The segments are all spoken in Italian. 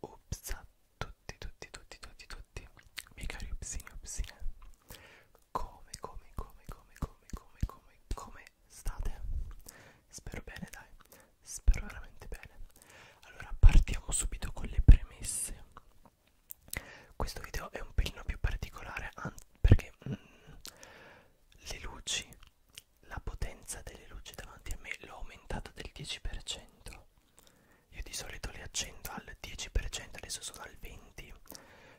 Ups, tutti, tutti, tutti, tutti, tutti, miei cari upsini, upsine, come, come, come, come, come, come, come, come state? Spero bene, dai, spero veramente bene. Allora, partiamo subito con le premesse questo video è un pelino più particolare perché mm, le luci, la potenza delle luci davanti a me l'ho aumentata del 10%. Io di solito le accendo al 10%, adesso sono al 20%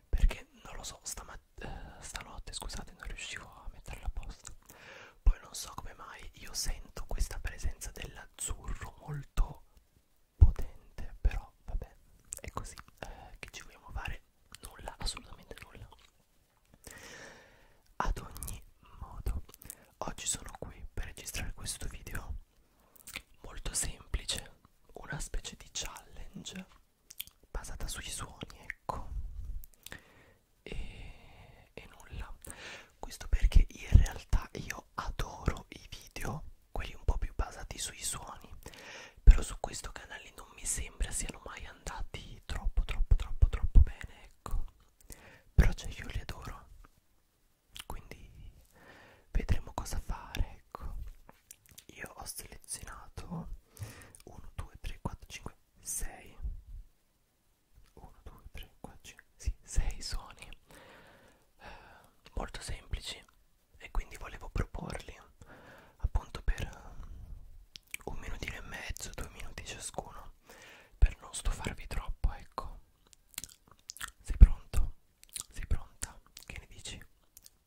perché non lo so, stamat eh, stanotte scusate non riuscivo a metterla a posto. Poi non so come mai io sento questa presenza dell'azzurro molto potente però vabbè è così eh, che ci vogliamo fare nulla assolutamente nulla ad ogni modo oggi sono qui per registrare questo video molto semplice una specie di challenge basata sui suoni ecco e, e nulla questo perché in realtà io adoro i video quelli un po' più basati sui suoni però su questo canale non mi sembra siano mai andati troppo troppo troppo troppo bene ecco però cioè io li adoro quindi vedremo cosa fare ecco io ho selezionato 1 2 3 4 5 6 1 2 3 4 5 sì, 6 suoni molto semplici e quindi volevo proporli appunto per un minutino e mezzo, due minuti ciascuno per non stufarvi troppo, ecco. Sei pronto? Sei pronta? Che ne dici?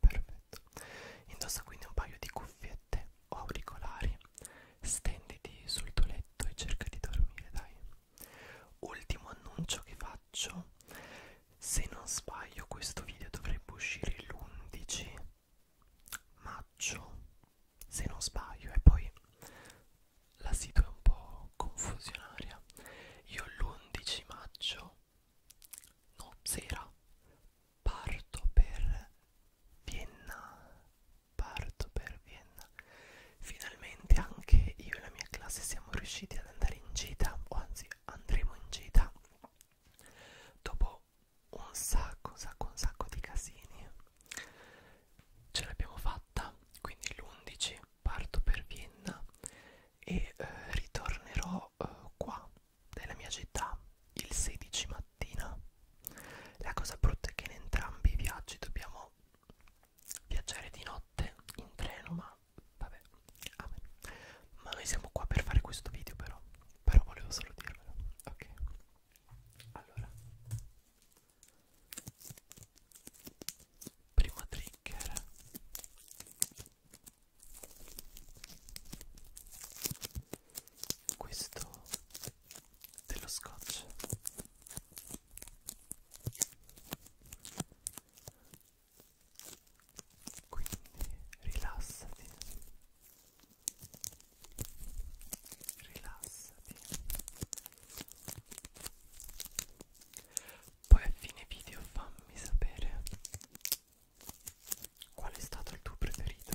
Perfetto. Indossa quindi un paio di cuffiette o auricolari. Stenditi sul tuo letto e cerca di dormire, dai ultimo annuncio che faccio se non sbaglio questo video dovrebbe uscire l'11 maggio se non sbaglio e poi la sito è un po' confusionaria io l'11 maggio no sera parto per Vienna parto per Vienna Finalmente anche io e la mia classe siamo riusciti ad andare in gita, o anzi andremo in gita dopo un sacco, un sacco, un sacco di casini. Ce l'abbiamo fatta, quindi l'11 parto per Vienna e eh, ritornerò eh, qua, nella mia città, il 16 mattina. La cosa brutta è che in entrambi i viaggi dobbiamo viaggiare di notte in treno ma vabbè amen. ma noi siamo qua per fare questo video però però volevo solo dirvelo ok allora primo trigger questo dello scotch quindi rilassati, rilassati. Poi a fine video fammi sapere qual è stato il tuo preferito.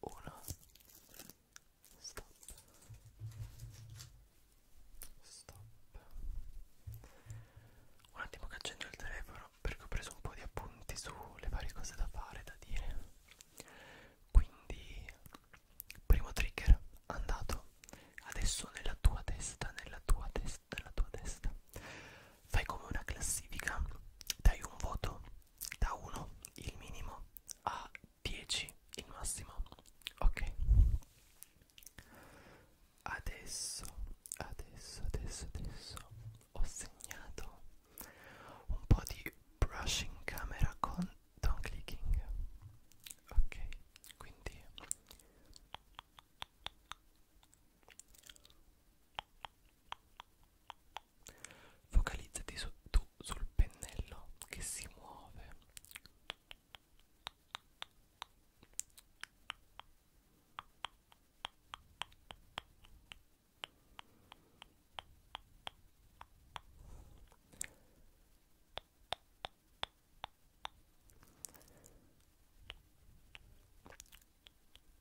una stop stop un attimo che accendo il telefono perché ho preso un po' di appunti sulle varie cose da fare da dire quindi primo trigger andato adesso nella tua testa nella tua testa nella tua testa fai come una classifica dai un voto da 1 il minimo a 10 il massimo ok adesso adesso adesso adesso ho segnato un po' di brushing camera con down clicking ok quindi Focalizzati su, tu sul pennello che si muove.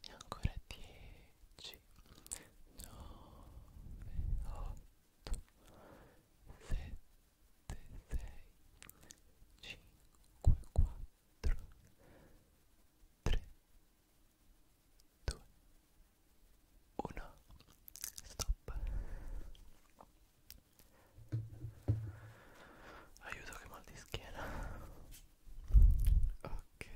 e ancora dieci nove otto sette 1 stop aiuto che mal di schiena ok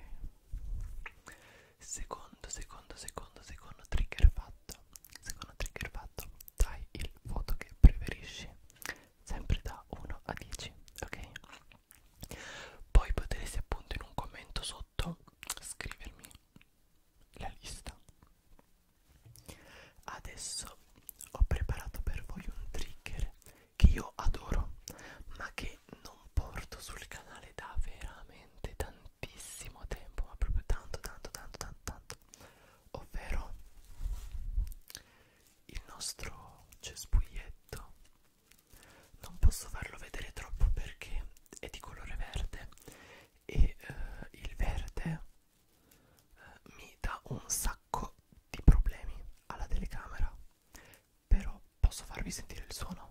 secondo secondo secondo secondo trigger fatto fatto secondo trigger fatto dai il voto che preferisci sempre da 1 a 10 ok poi potresti appunto in un commento sotto scrivermi la lista adesso ho preparato per voi un trigger che io adoro ma che non porto sul canale da veramente tantissimo tempo ma proprio tanto tanto tanto tanto tanto ovvero il nostro cespuglietto non posso farlo vedere troppo perché è di colore verde e eh, il verde eh, mi dà un sacco di problemi alla telecamera però posso farvi sentire il suono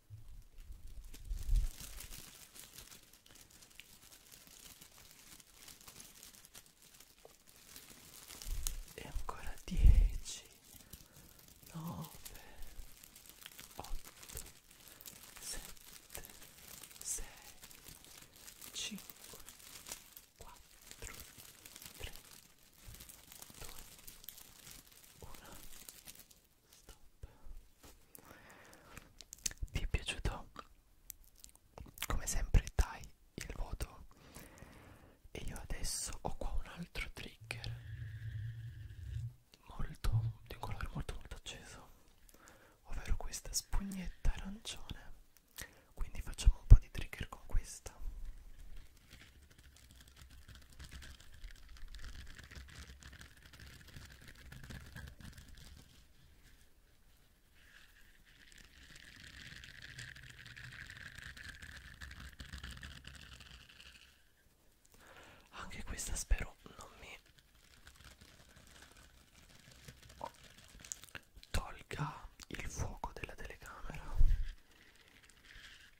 e ancora dieci, nove, otto, sette, sei, cinque, quattro, tre, due, uno. Stop. Ti è piaciuto? Come sempre dai il voto e io adesso ho qua un altro trigger molto di un colore molto molto acceso ovvero questa spugnetta arancione quindi facciamo un po' di trigger con questa anche questa spero non mi tolga il fuoco della telecamera.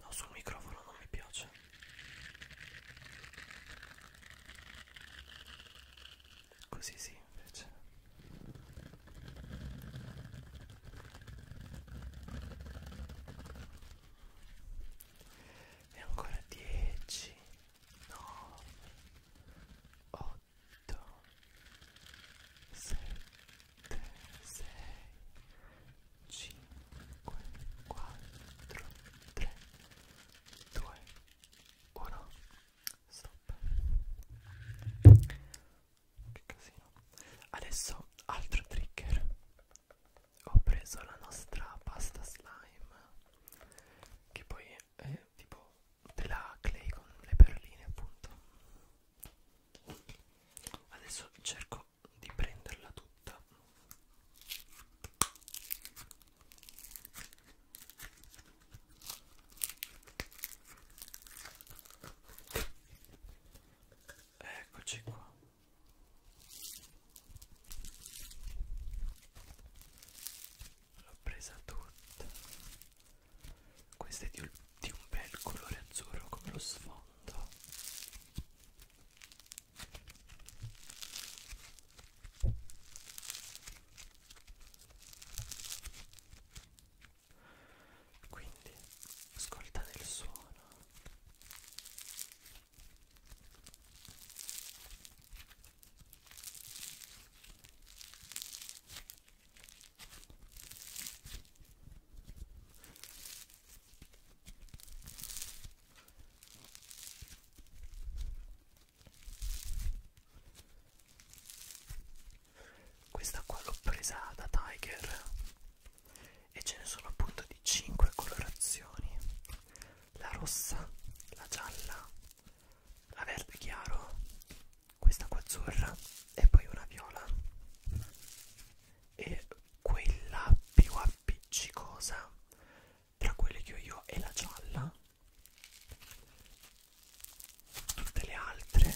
No, sul microfono non mi piace. Così sì, invece. E ancora 10, 9, 8, 7, 6, 5, 4, 3, 2, 1 5, 4, 3, 2, 1, stop. Che casino. Adesso altro trigger. Ho preso la nostra pasta slime, che poi è tipo della clay con le perline appunto. Adesso cerco di prenderla tutta eccoci qua l'ho presa tutta questa è di un bel colore azzurro come lo sfondo quindi ascoltate il suono. Questa qua l'ho presa da Tiger e ce ne sono appunto di 5 colorazioni. La rossa, la gialla, la verde chiaro, questa qua azzurra e poi una viola e quella più appiccicosa tra quelle che ho io è la gialla tutte le altre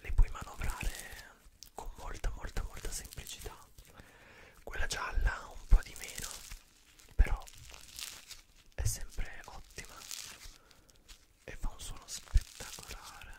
le puoi manovrare con molta molta molta semplicità quella gialla un po' di meno però è sempre ottima e fa un suono spettacolare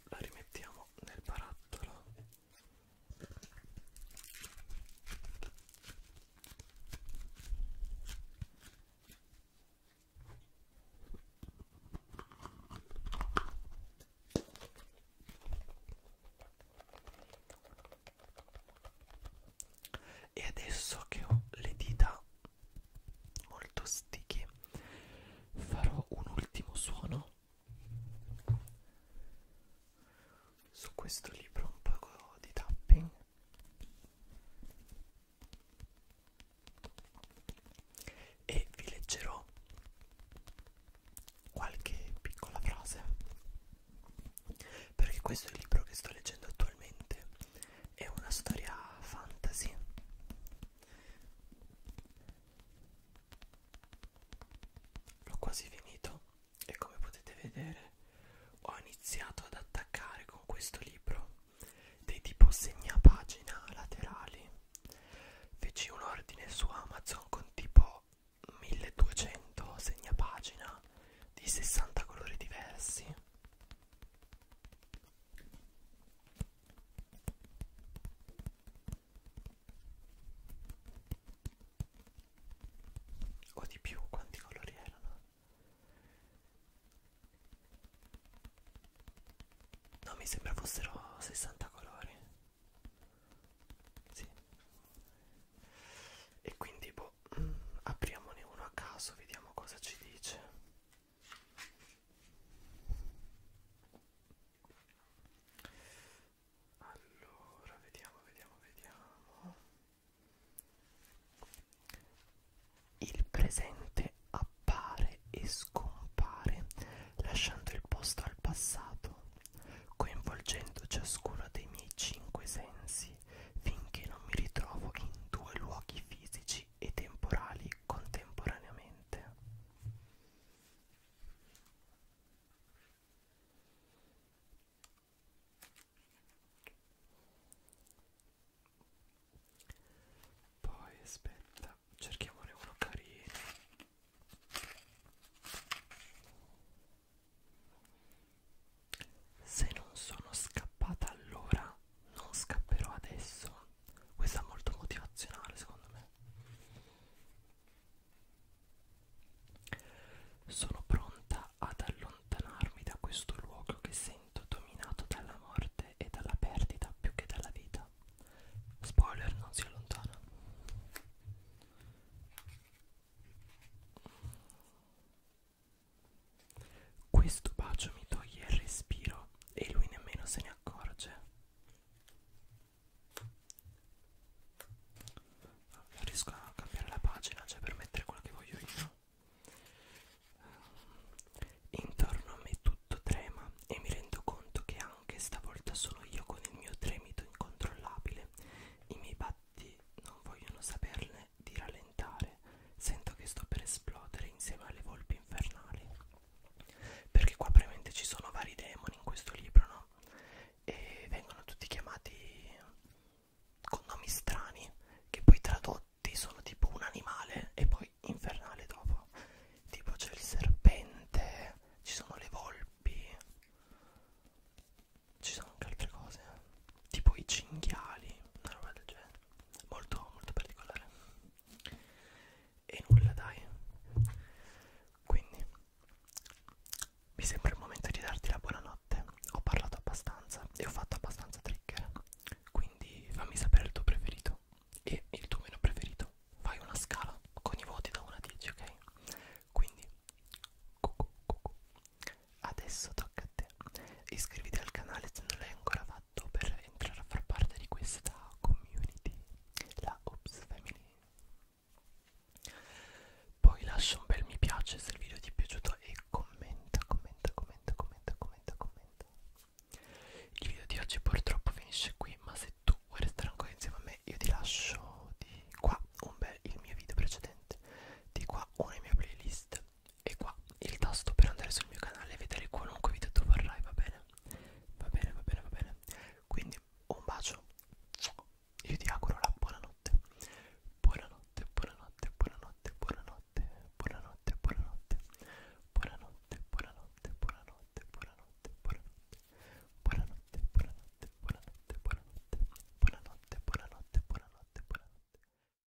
la rimettiamo nel barattolo e adesso che ho le dita molto sticky farò un ultimo suono su questo libro un poco di tapping e vi leggerò qualche piccola frase perché questo è il libro che sto leggendo attualmente è una storia fantasy L'ho quasi finito e come potete vedere ho iniziato ad attaccare con questo libro dei tipo segnapagina laterali. Feci un ordine su Amazon con tipo 1200 segnapagina di 60 colori diversi o di più quanti colori erano no mi sembra fossero 60 colori sì. e quindi boh mm, apriamone uno a caso vediamo cosa ci dice allora, vediamo, vediamo, vediamo. Il presente appare e scompare, lasciando il posto al passato, coinvolgendo ciascuno dei miei cinque sensi, finché non mi ritrovo in due luoghi fisici e temporali contemporaneamente. Poi aspetta, cerchiamone uno carino. Se non sono scappata allora, non scapperò adesso questa è molto motivazionale secondo me sono pronta ad allontanarmi da questo luogo che sento dominato dalla morte e dalla perdita più che dalla vita spoiler non si allontana questo bacio mi toglie il respiro e lui nemmeno se ne accorge. Non riesco a cambiare la pagina, cioè per mettere quello che voglio io. Ehm, intorno a me tutto trema e mi rendo conto che anche stavolta sono io con il mio tremito incontrollabile. I miei batti non vogliono saperne di rallentare. Sento che sto per esplodere insieme alle volpi infernali perché qua veramente ci sono vari demoni in questo libro no e vengono tutti chiamati con nomi strani che poi tradotti sono tipo un animale e poi infernale dopo tipo c'è il serpente ci sono le volpi ci sono anche altre cose tipo i cinghiali una roba del genere molto molto particolare e nulla dai quindi mi sembra il momento di darti la buonanotte ho parlato abbastanza e ho fatto abbastanza trigger quindi fammi sapere il tuo preferito e il tuo meno preferito fai una scala con i voti da 1 a 10 ok quindi Adesso tocca a te iscriviti al canale se non l'hai ancora fatto per entrare a far parte di questa community la Ops Family poi lascia un bel mi piace se il video ti è piaciuto e commenta commenta commenta commenta commenta commenta il video di oggi purtroppo finisce qui ma se tu vuoi restare ancora insieme a me io ti lascio di qua un bel il mio video precedente di qua una mia playlist e qua il tasto per andare sul mio canale e vedere qualunque video tu vorrai, va bene? Va bene, va bene, va bene. Quindi un bacio. Io ti auguro la buonanotte. Buonanotte, buonanotte, buonanotte, buonanotte, buonanotte, buonanotte. Buonanotte, buonanotte, buonanotte, buonanotte, buonanotte. Buonanotte, buonanotte, buonanotte, buonanotte. Buonanotte, buonanotte, buonanotte, buonanotte.